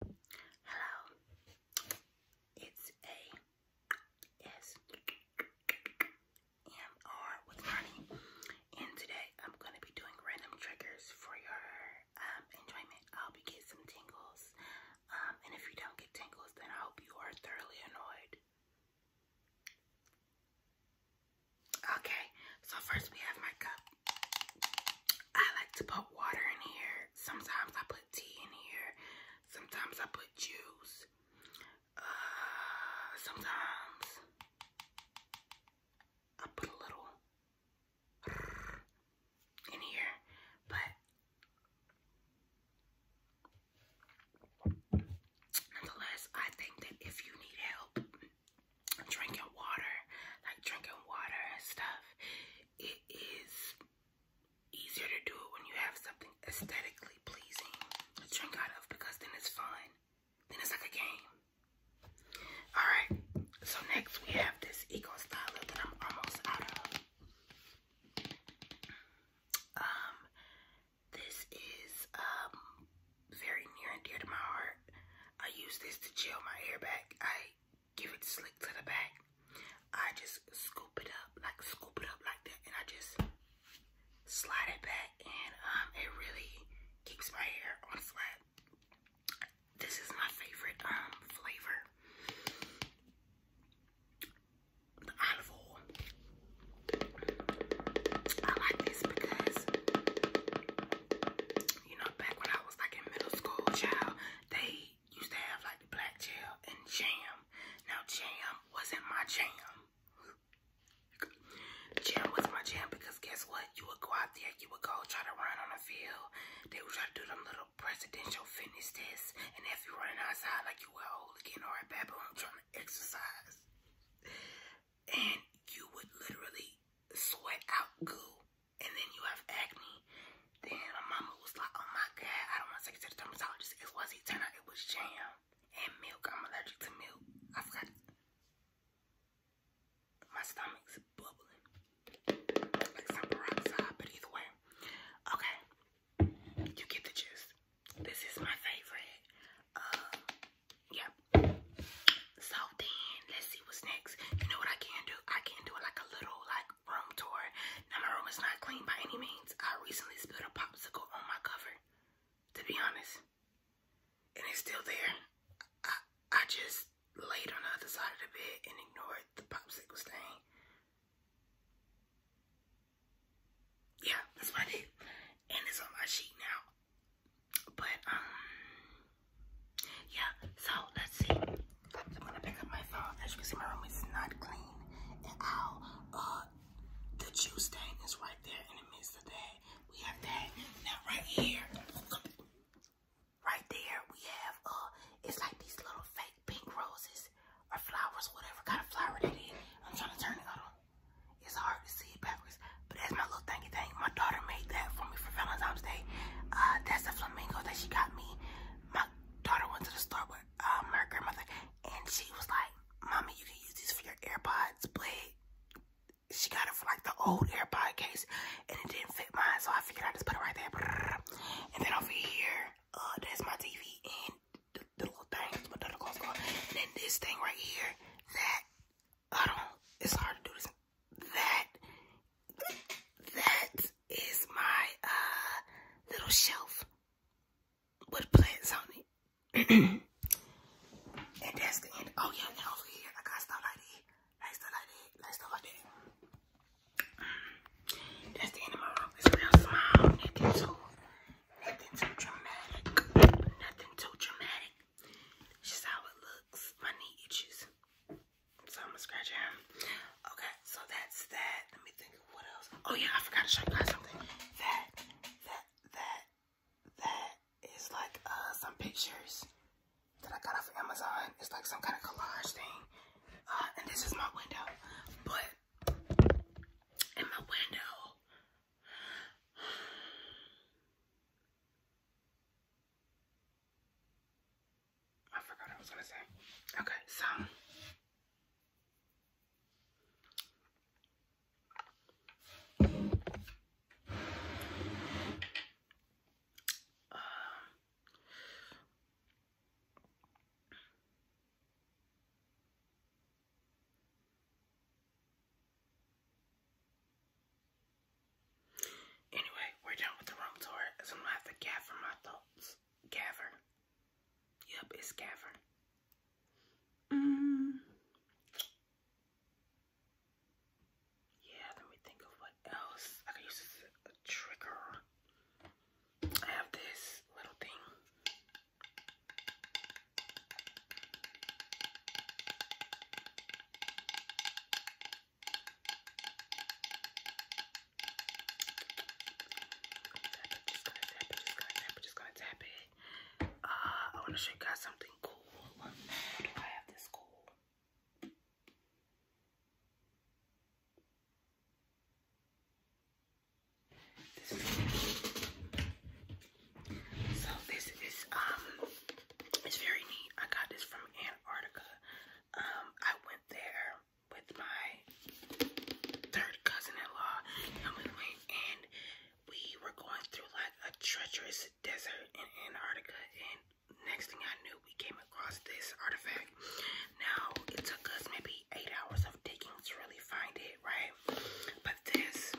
Hello. It's a S M R with Ronnie, and today I'm gonna be doing random triggers for your um, enjoyment. I hope you get some tingles, um, and if you don't get tingles, then I hope you are thoroughly annoyed. Okay, so first we have my cup. I like to put water in here. Sometimes I put tea in here. Sometimes I put juice. Uh, sometimes I put a little in here, but nonetheless, I think that if you need help drinking water, like drinking water and stuff, it is easier to do it when you have something aesthetically pleasing to drink out of because then it's fun. Then it's like a game. Alright, so next we have this Eco Styler that I'm almost out of. Um, this is um very near and dear to my heart. I use this to chill my hair back. I give it slick to the back. I just scoop it up, like scoop it up like that, and I just slide it back, and um, it really keeps my hair on flat. This is my favorite um flavor, the olive oil. I like this because you know, back when I was like in middle school, child, they used to have like the black gel and jam. Now jam wasn't my jam. Jam was my jam because guess what? You would go out there, you would go try to run on the field. They would try to do them little presidential fitness tests. And if you running outside like you were old again or a I'm trying to exercise. And you would literally sweat out goo and then you have acne. Then my mama was like, oh my God, I don't want to take you to the dermatologist. It wasn't turn out, it was jam and milk. I'm allergic to milk. I have got My stomach's bubbling like some peroxide, but either way. Okay, you get the gist. This is my favorite. Um, so then let's see what's next. You know what I can do? I can do like a little like room tour. Now my room is not clean by any means. I recently spilled a popsicle on my cover, to be honest. And it's still there. I I just laid on the other side of the bed and ignored the popsicle stain. Yeah, that's what I did. And it's on my sheet now. But um yeah, so let's see. I'm gonna pick up my phone. As you can see, my room is not clean. And I'll uh the juice stain is right there in the midst of that. We have that now right here. Right there we have uh it's like these little fake pink roses or flowers, whatever kind of flower that is. I'm trying to turn it on. It's hard to see backwards, but that's my little thingy thing. My daughter made that for me for Valentine's Day. Uh, that's a flamingo that she got me. My daughter went to the store with um, grandmother, and she was like, "Mommy, you can use these for your AirPods." But she got it for like the old AirPod case, and it didn't fit mine, so I figured I just put it right there. And then over here, uh, that's my TV and the, little thing my daughter calls on. And then this thing right here, that I don't. It's hard to do this that that is my uh little shelf with plants on it. and that's the end. Oh yeah, over here I got stuff like that, like stuff like that, That's the end of my room. It's real small. Nothing too, nothing too dramatic. Nothing too dramatic. Just how it looks. My knee itches. So I'm gonna scratch it Okay, so that's that. Let me think what else. Oh yeah, I forgot to show you guys something. That, that, that, that is like uh, some pictures that I got off Amazon. It's like some kind of collage thing. Uh, and this is my window. But in my window, I forgot I was gonna say. Okay, so Anyway, we're done with the room tour, so gonna have to gather my thoughts. Gather. Yep, it's gather. Mm. Yeah, let me think of what else. I could use a trigger. I have this little thing. Just gonna tap it, just gonna tap it, just gonna tap it. Uh, I wanna show you guys something cool. do I have this cool? so this is um it's very neat. I got this from Antarctica. Um, I went there with my third cousin-in-law, and we were going through like a treacherous desert in Antarctica. And next thing I knew, we came across this artifact. Now it took us maybe eight hours of digging to really find it, right? But this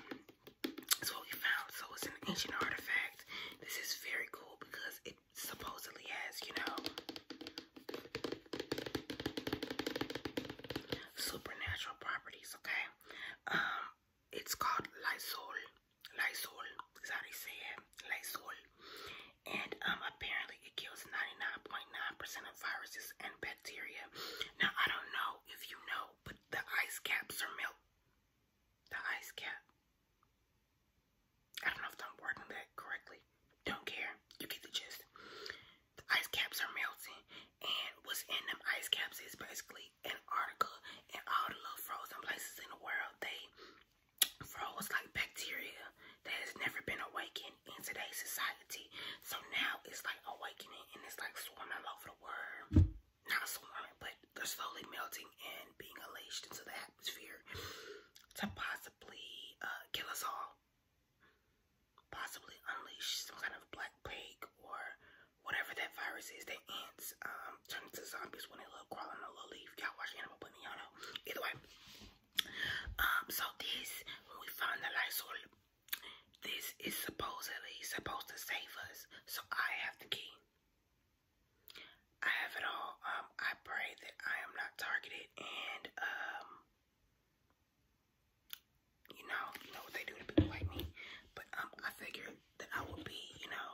it's what we found. So it's an ancient artifact. This is very cool because it supposedly has, you know, supernatural properties, okay? Um, it's called Lysol. Lysol is they say it. And um, apparently it kills 99.9% percent of viruses and bacteria. Now, I don't know if you know, but the ice caps are melt the ice cap. I don't know if I'm wording that correctly. Don't care. You get the gist. The ice caps are melting, and what's in them ice caps is basically Antarctica and all the little frozen places in the world. They froze like bacteria that has never been awakened in today's society. So now it's like awakening, and it's like swarming all over the world not swarming, but they're slowly melting and being unleashed into the atmosphere to possibly uh, kill us all. Possibly unleash some kind of black plague or whatever that virus is that ants um, turn into zombies when they love crawling on a little leaf. Y'all watch Animal Planet, y'all know. Either way. Um, so this, when we found the Lysol, this is supposedly supposed to save us. So I have the key. I have it all. Um, I pray that I am not targeted and um you know, you know what they do to people like me. But um I figure that I will be, you know,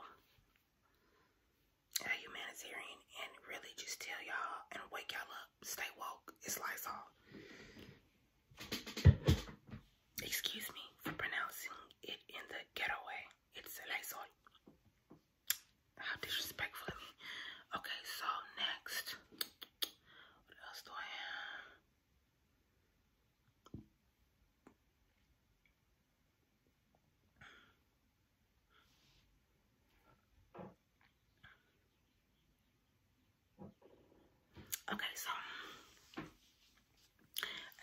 a humanitarian and really just tell y'all and wake y'all up. Stay woke. It's lights all. Excuse me for pronouncing it in the ghetto way. It's Lysol. How disrespectful of me. Okay, so next. What else do I have? Okay, so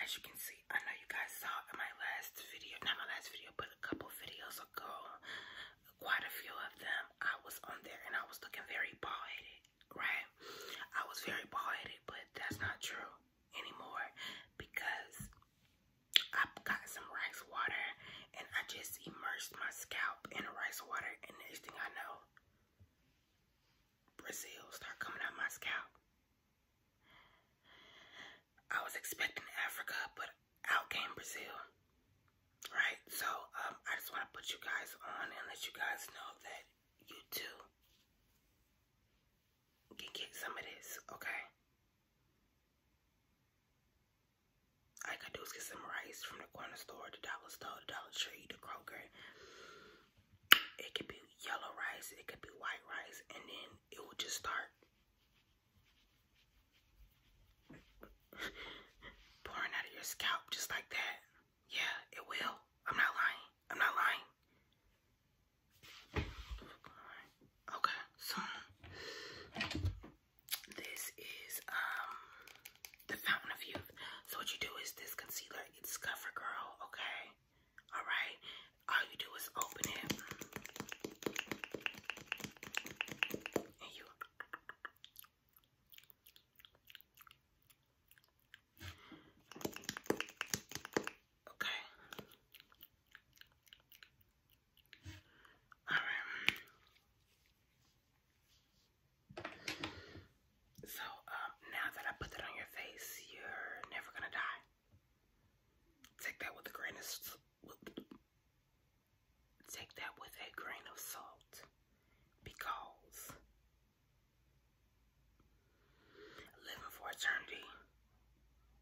as you can see, I know you guys saw in my last video, not my last video, but a couple videos ago, quite a few of them. I was on there and I was looking very bald headed, right? I was very bald headed, but that's not true anymore because I got some rice water and I just immersed my scalp in rice water, and next thing I know, Brazil start coming out my scalp. I was expecting Africa, but out came Brazil. Right? So, um, I just want to put you guys on and let you guys know that you too can get some of this, okay? All I could do is get some rice from the corner store, the dollar store, the dollar tree, the Kroger, it could be yellow rice, it could be white rice, and then it will just start pouring out of your scalp just like that. Yeah, it will. I'm not lying. I'm not lying. Okay, so this is um the fountain of youth. So what you do is this concealer it's cover girl, okay? Alright? All you do is open it. And you Okay. Alright. So, um, now that I put that on your face, you're never gonna die. Take that with a grain of take that with a grain of salt, because living for eternity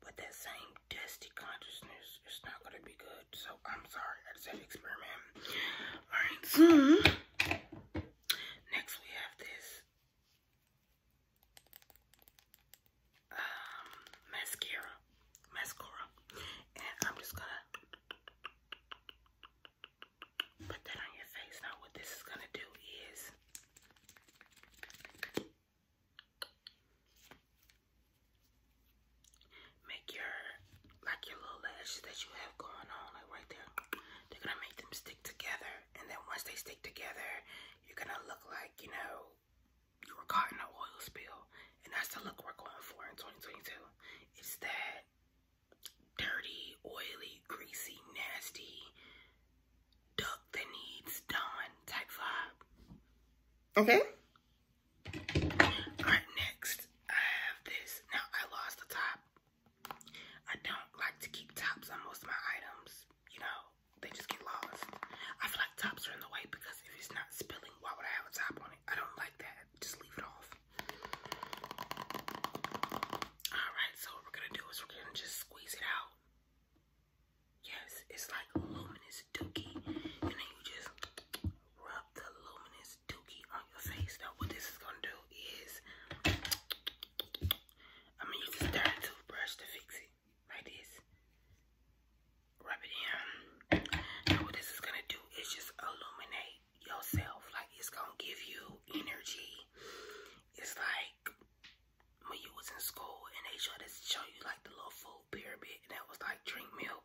with that same dusty consciousness is not gonna be good. So I'm sorry, I just had to experiment. All right. Mm Next we have this um, mascara, mascara, and I'm just gonna put that on your face. Now what this is gonna do is make your like your little lashes that you have going on, like right there. They're gonna make them stick together, and then once they stick together, you're gonna look like you know you were caught in an oil spill, and that's the look we're going for in 2022. It's that dirty, oily, greasy, nasty duck that needs done type vibe. Okay. All right, next I have this. Now I lost the top I don't like to keep tops on most of my items. You know, they just get lost. I feel like tops are in the way because if it's not spilling, why would I have a top on it? I don't like that. Just leave it off. Alright, so what we're gonna do is we're gonna just squeeze it out. Yes, it's like luminous dookie. And then you just rub the luminous this on your face. Now, what this is gonna do is I'm gonna use this toothbrush to fix it, like this. Rub it in. Now, what this is gonna do is just illuminate yourself. Like it's gonna give you energy. It's like when you was in school and they showed us show you like the little food pyramid, and that was like drink milk.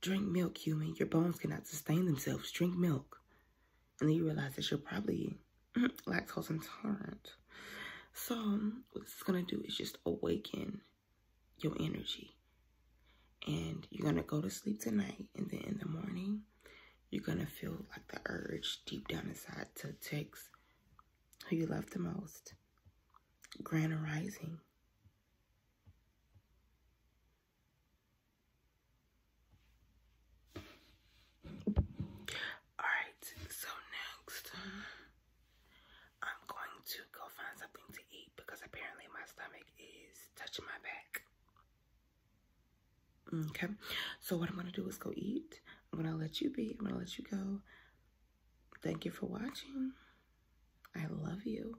Drink milk, human. Your bones cannot sustain themselves. Drink milk. And then you realize that you're probably lactose intolerant. So what this is gonna do is just awaken your energy. And you're gonna go to sleep tonight and then in the morning you're gonna feel like the urge deep down inside to text who you love the most. Grand rising. Alright, so next I'm going to go find something to eat because apparently my stomach is touching my back. Okay, so what I'm going to do is go eat. I'm going to let you be. I'm going to let you go. Thank you for watching. I love you.